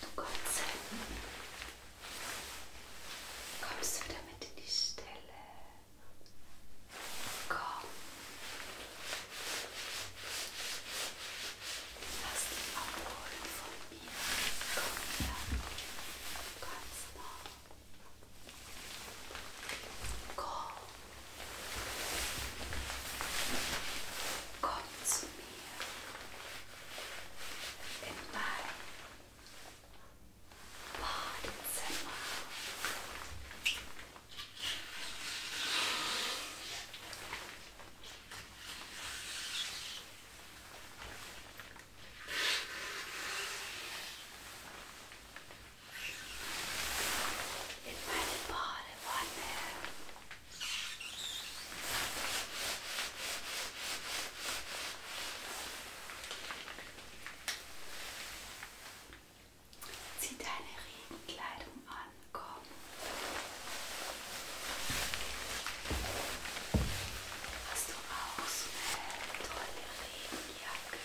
Du kommst hin. Kommst du wieder mit in die Stille? Komm. Lass dich abholen von mir. Komm her. Ganz nah. Komm. Komm zu mir. in my body somehow. In my body, one day. Zieh deine Regenkleidung an, komm. Hast du auch so eine tolle Regenjacke?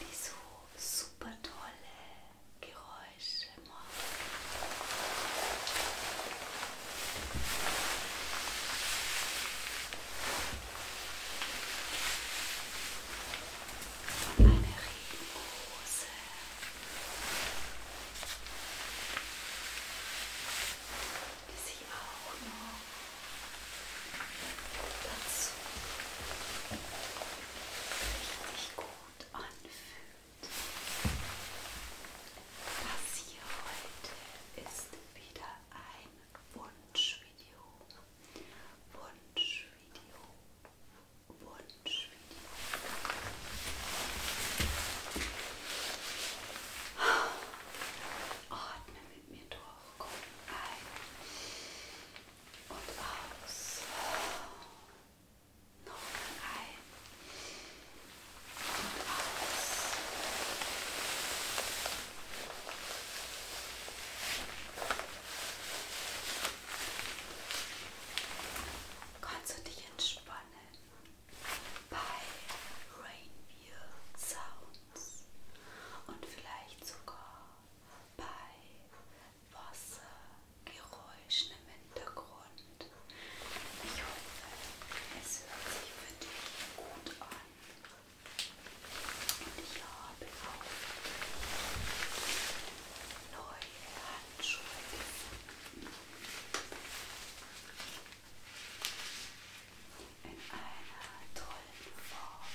Die so super tolle Geräusche machen. Eine Regenrose. Die sich auch noch dazu richtig gut anfühlt. Das hier heute ist wieder ein Wunschvideo. Wunschvideo. Wunschvideo. Atme mit mir durch. Komm ein und aus noch rein und raus. Kannst du dich entspannen bei Rainbow Sounds und vielleicht sogar bei Wassergeräuschen im Hintergrund. Ich hoffe, es hört sich für dich gut an. Und ich habe auch neue Handschuhe gefunden. In einer tollen Farbe.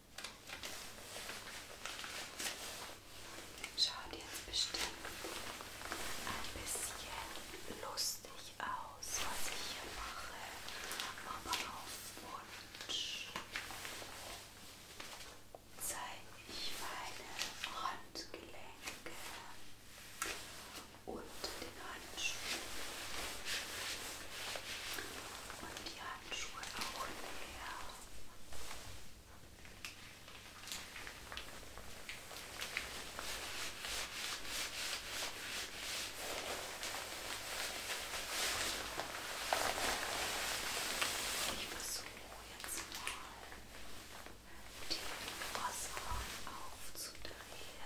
Schaut jetzt bestimmt ein bisschen lustig aus, was ich hier mache, aber auf Wunsch zeige ich meine Handgelenke unter den Handschuhen. Und ja, Handschuhe auch her. Ich versuche jetzt mal die Wasser aufzudrehen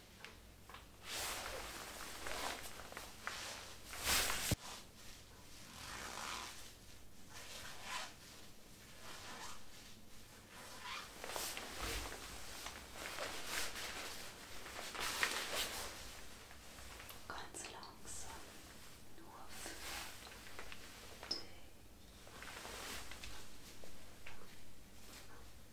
Ganz langsam, nur für dich.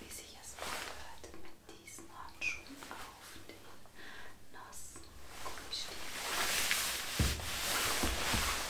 Wie sich es anhört mit diesen Handschuhen auf den nassen Gummistiefeln.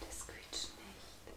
Das quietscht nicht.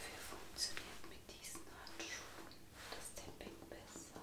Wie funktioniert mit diesen Handschuhen das Tapping besser?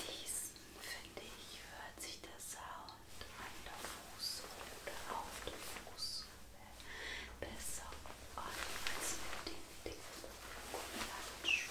Diesen finde ich hört sich der Sound an der Fußsohle oder auf der Fußsohle besser an als mit den dicken Gummihandschuhen.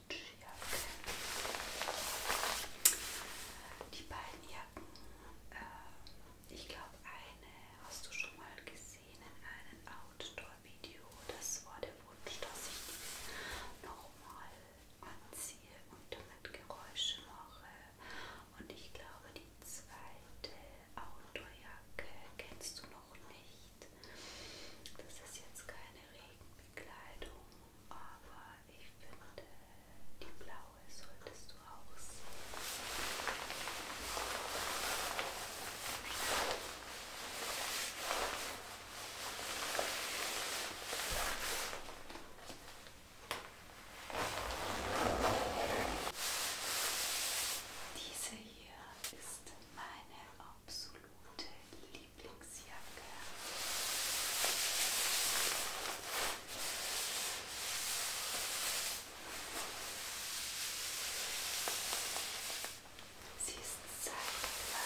Jacke. Die beiden Jacken. Äh, ich glaube, eine hast du schon mal gesehen in einem Outdoor-Video. Das war der Wunsch, dass ich die nochmal anziehe und damit Geräusche mache. Und ich glaube, die zweite Outdoor-Jacke kennst du noch nicht. Das ist jetzt keine Regen. Bekleidung, aber ich finde, die blaue solltest du auch diese hier ist meine absolute Lieblingsjacke. Sie ist zeitgleich.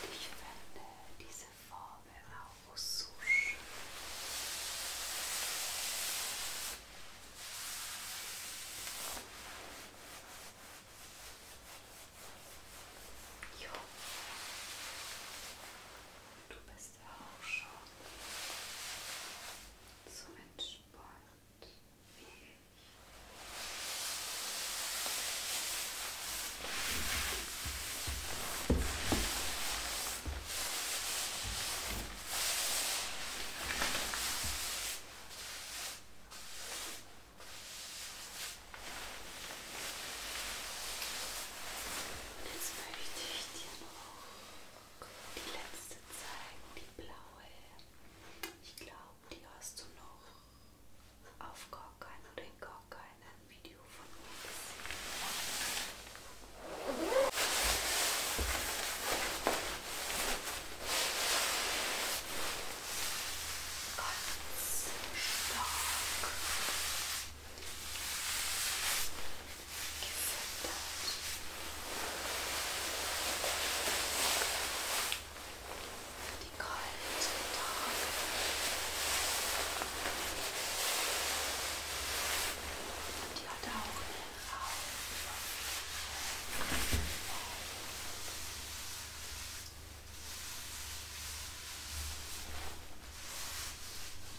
Und ich finde diese Formel auch so schön. Jo. Du bist ist auch schon zum Entspannen fähig. Jetzt möchte ich dir noch die letzte zeigen, die blaue. Ich glaube, die hast du noch auf gar keinen oder in gar keinem Video von mir gesehen. Ganz stark gefüttert. Die kalte Tage. Und die hat auch einen Raum. Jetzt äh,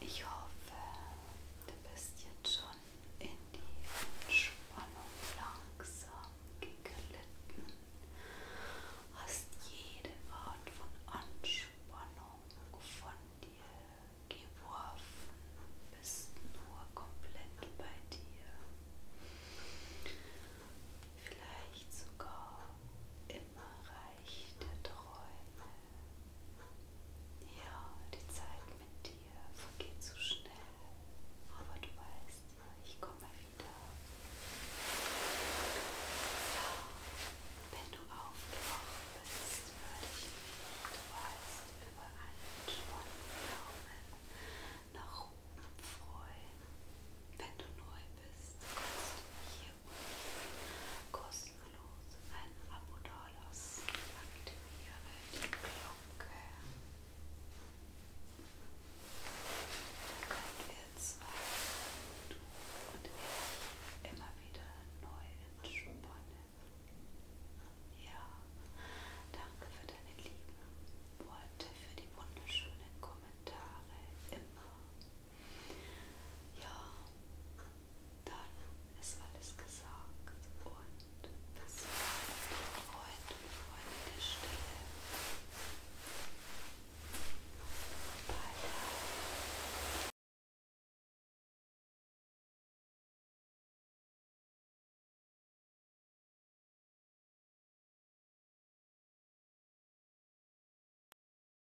Ich hoffe, du bist jetzt schon in die Entspannung langsam geglitten, hast jede Art von Anspannung von dir geworfen, bist nur komplett bei dir. Vielleicht sogar immer reichte Träume ja, die Zeit mit dir vergeht so schnell, aber du weißt, ich komme wieder. Ja, wenn du aufgewacht bist, würde ich mich, du weißt, über einen schwachen Daumen nach oben freuen. Wenn du neu bist, kannst du mich kostenlos ein Abo Dollars. Aktiviere die Glocke. Dann könnt ihr zwei, du und ich, immer wieder neu entspannen. Ja, danke für deine lieben Worte, für die wunderschönen Kommentare. Immer ja, dann ist alles gesagt und bis heute und Freunde der Stille. Bye.